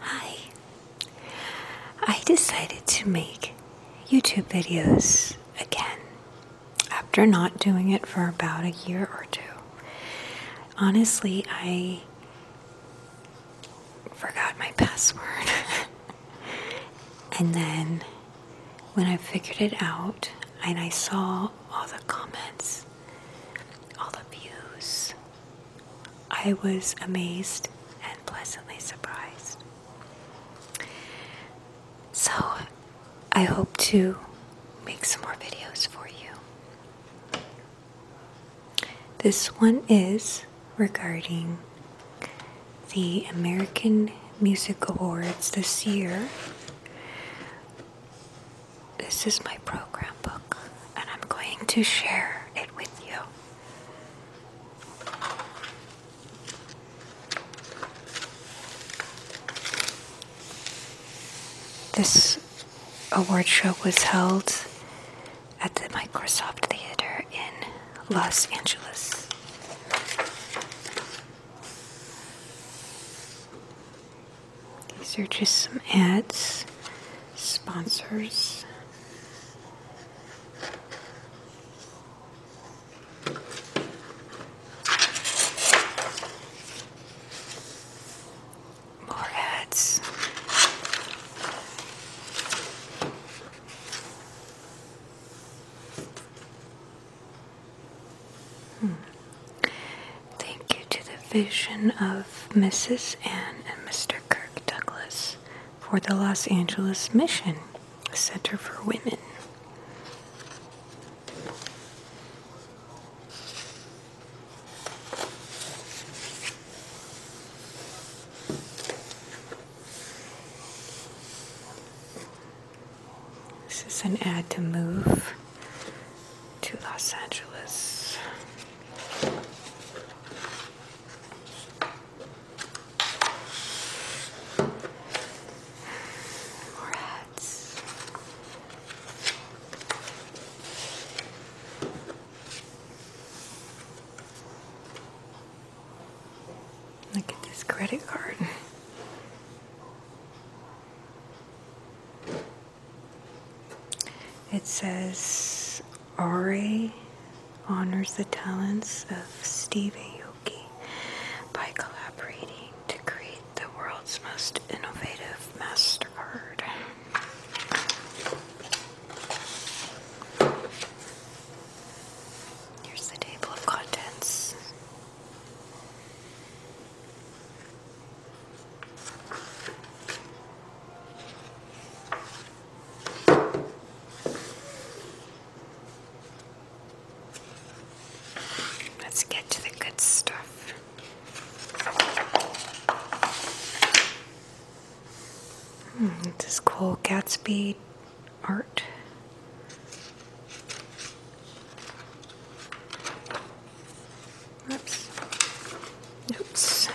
Hi, I decided to make YouTube videos again after not doing it for about a year or two. Honestly, I forgot my password, and then when I figured it out and I saw all the comments, all the views, I was amazed and pleasantly surprised. So, I hope to make some more videos for you. This one is regarding the American Music Awards this year. This is my program book, and I'm going to share it with you. This award show was held at the Microsoft Theater in Los Angeles. These are just some ads, sponsors. More ads. Hmm. Thank you to the vision of Mrs. Ann and Mr. Kirk Douglas for the Los Angeles Mission, center for women. This is an ad to move to Los Angeles. More hats. Look at this credit card. It says Ari honors the talents of Steve Aoki by collaborating to create the world's most innovative MasterCard. Here's the table of contents. Let's get to the good stuff. Hmm, this is Cole Gatsby art. Oops. Oops.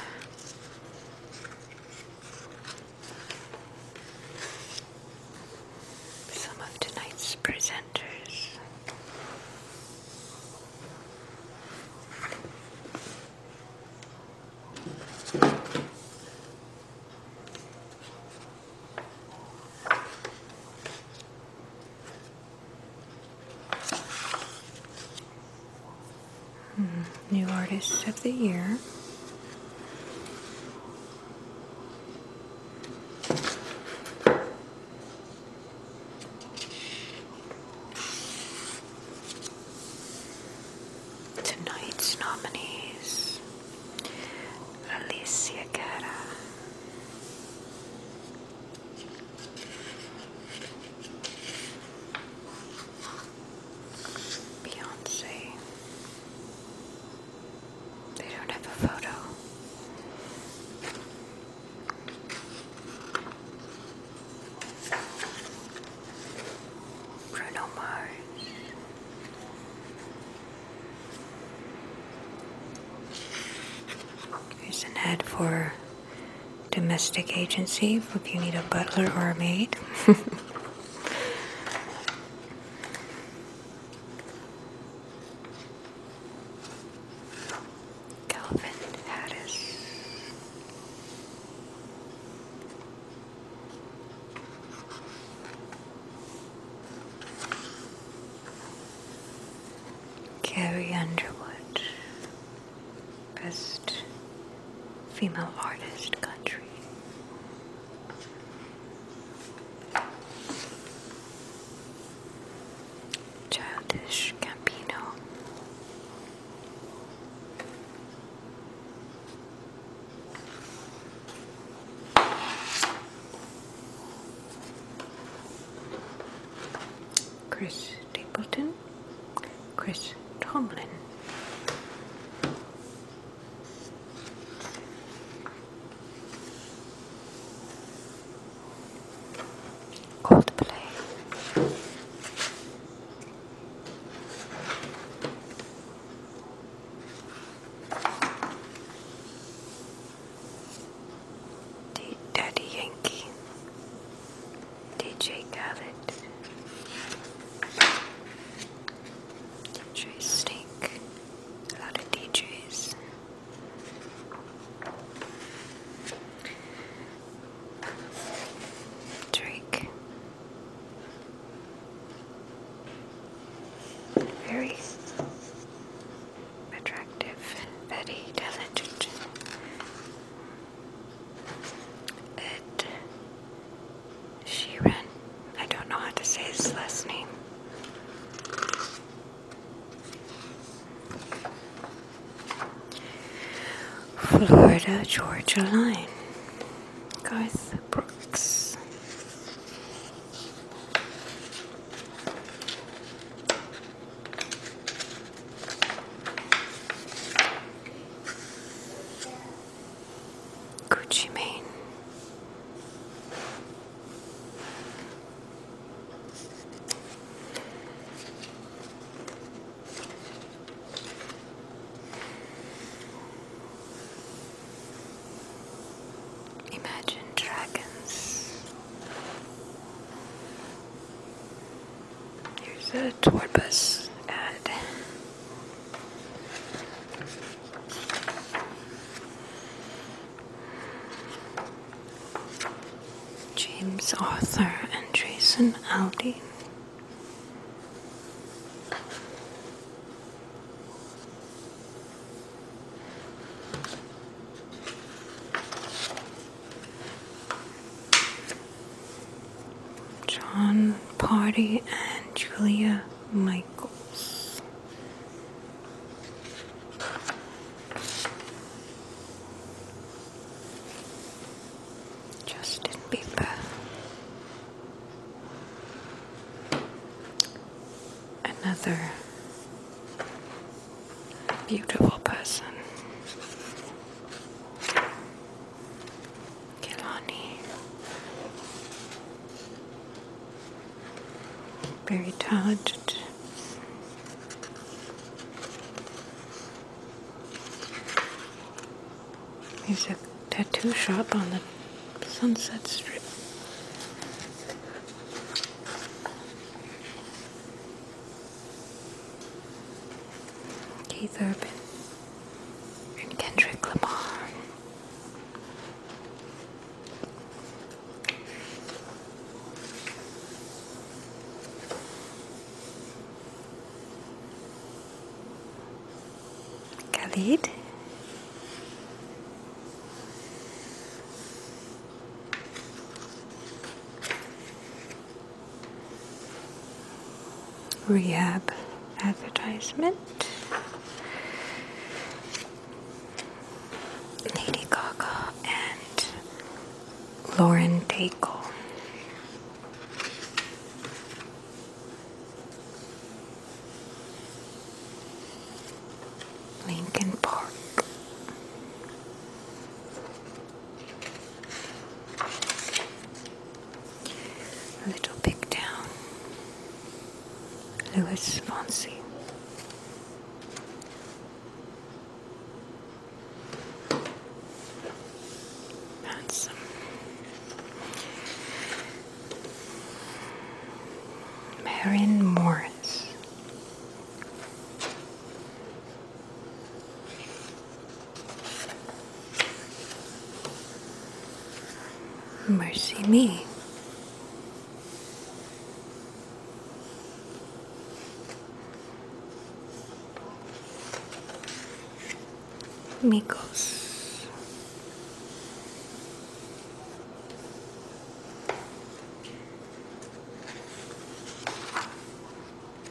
Some of tonight's presenters. Hmm, new Artist of the Year. Tonight's nominees Alicia Cara, Beyonce. They don't have a photo. Bruno Mars. Here's an for domestic agency if you need a butler or a maid. Calvin Harris. Carrie Underwood. Best Female Artist Country. Childish Campino. Chris Stapleton, Chris Tomlin. Coldplay. Daddy Yankee, DJ Khaled, DJ Snake, a lot of DJs. Drake. Very attractive, very talented. Ed Sheeran. I don't know how to say his last name. Florida Georgia Line. Guys Brooks. Gucci Mane. Imagine dragons. Here's a tour bus ad. James Arthur and Jason Aldean. John Party and Julia Michaels. Justin Bieber. Another beautiful person. Kilani. Very talented. There's a tattoo shop on the Sunset Strip. Keith Urban and Kendrick Lamar. Khalid rehab advertisement. Lady Gaga and Lauren Daigle. Lincoln Park. A little big town, Lewis Fonsi. Handsome. Marion Morris. Mercy me. Mikos.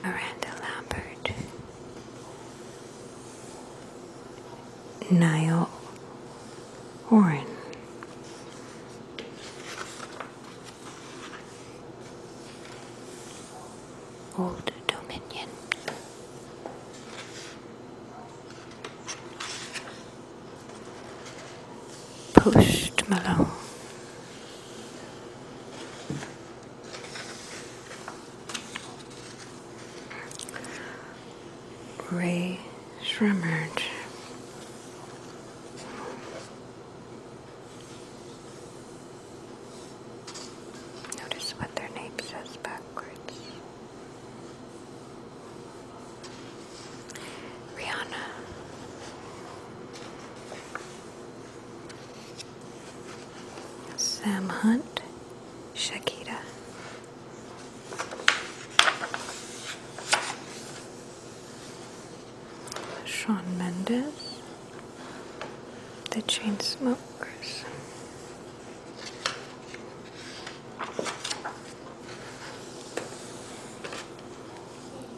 Miranda Lambert, Niall Horan, Old Dominion. Post Malone, Ray Shremmerd. Notice what their name says backwards. Rihanna. Sam Hunt, Shakira. Sean Mendes, The Chainsmokers.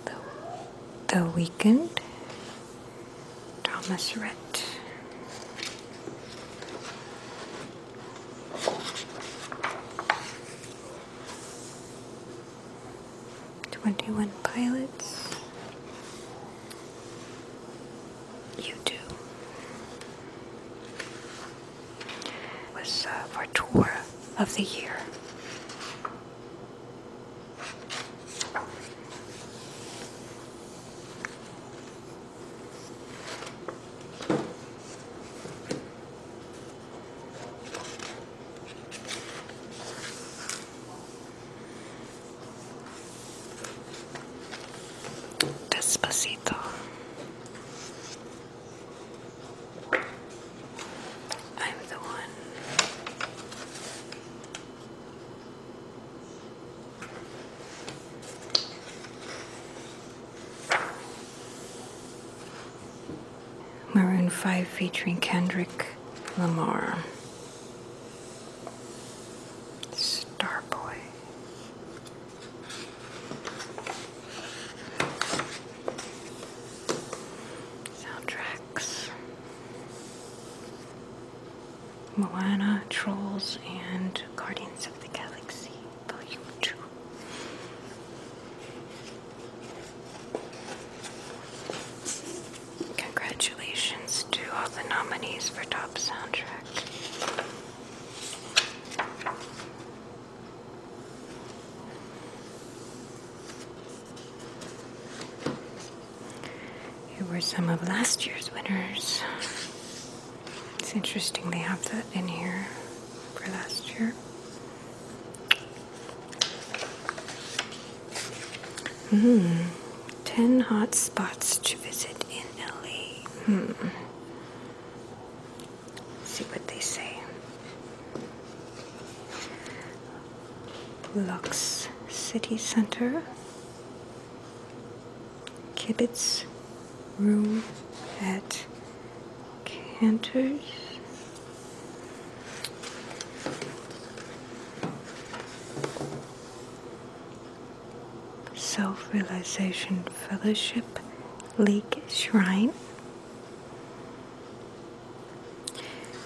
The, the Weekend, Thomas Rhett. Twenty One Pilots. You do. Was uh, for tour of the year. Despacito. I'm the one Maroon 5 featuring Kendrick Lamar. Starboy. Soundtracks. Moana, Trolls, and Guardians of the Galaxy Volume 2. Congratulations to all the nominees for Top Soundtrack. Here were some of last year's winners. It's interesting they have that in here for last year. Hmm. 10 hot spots to visit in LA. Hmm. see what they say. Lux City Center. Kibitz room at Cantor's. Self Realization Fellowship Lake Shrine.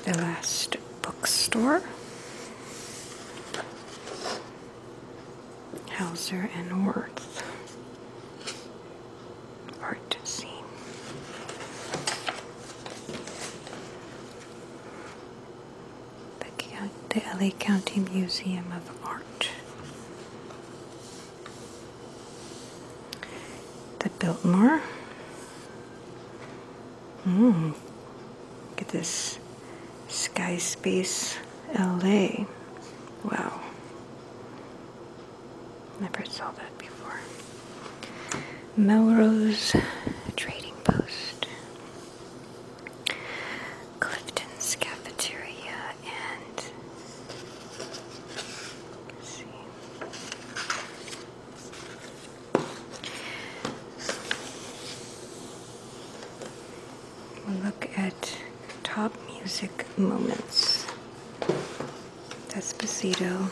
The last bookstore. Hauser and Worth. Part C. The, LA County Museum of Art. The Biltmore. Mmm. Look at this. Skyspace, LA. Wow. Never saw that before. Melrose Trading Post. Clifton's Cafeteria and. see. We'll look at top music moments. Despacito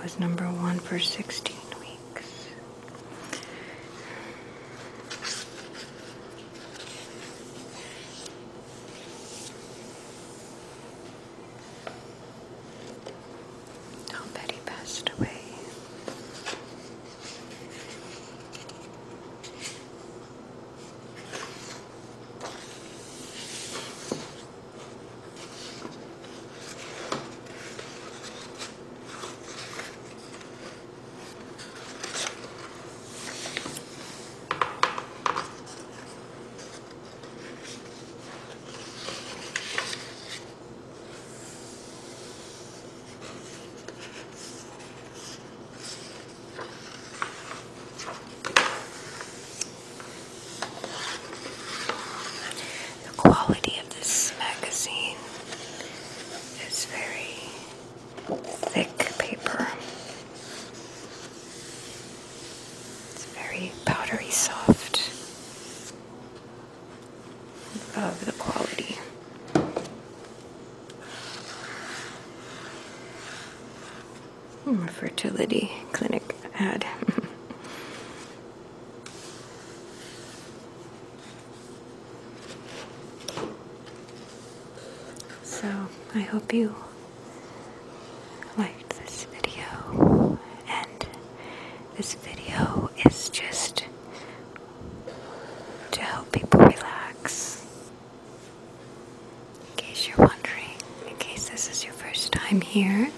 was number one for 16 weeks. Oh, Betty passed away. The quality of this magazine is very thick paper. It's very powdery soft of the quality. fertility clinic ad. so I hope you liked this video and this video is just to help people relax. In case you're wondering, in case this is your first time here,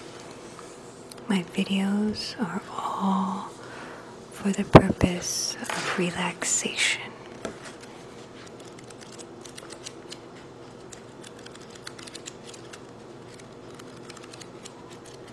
my videos are all for the purpose of relaxation.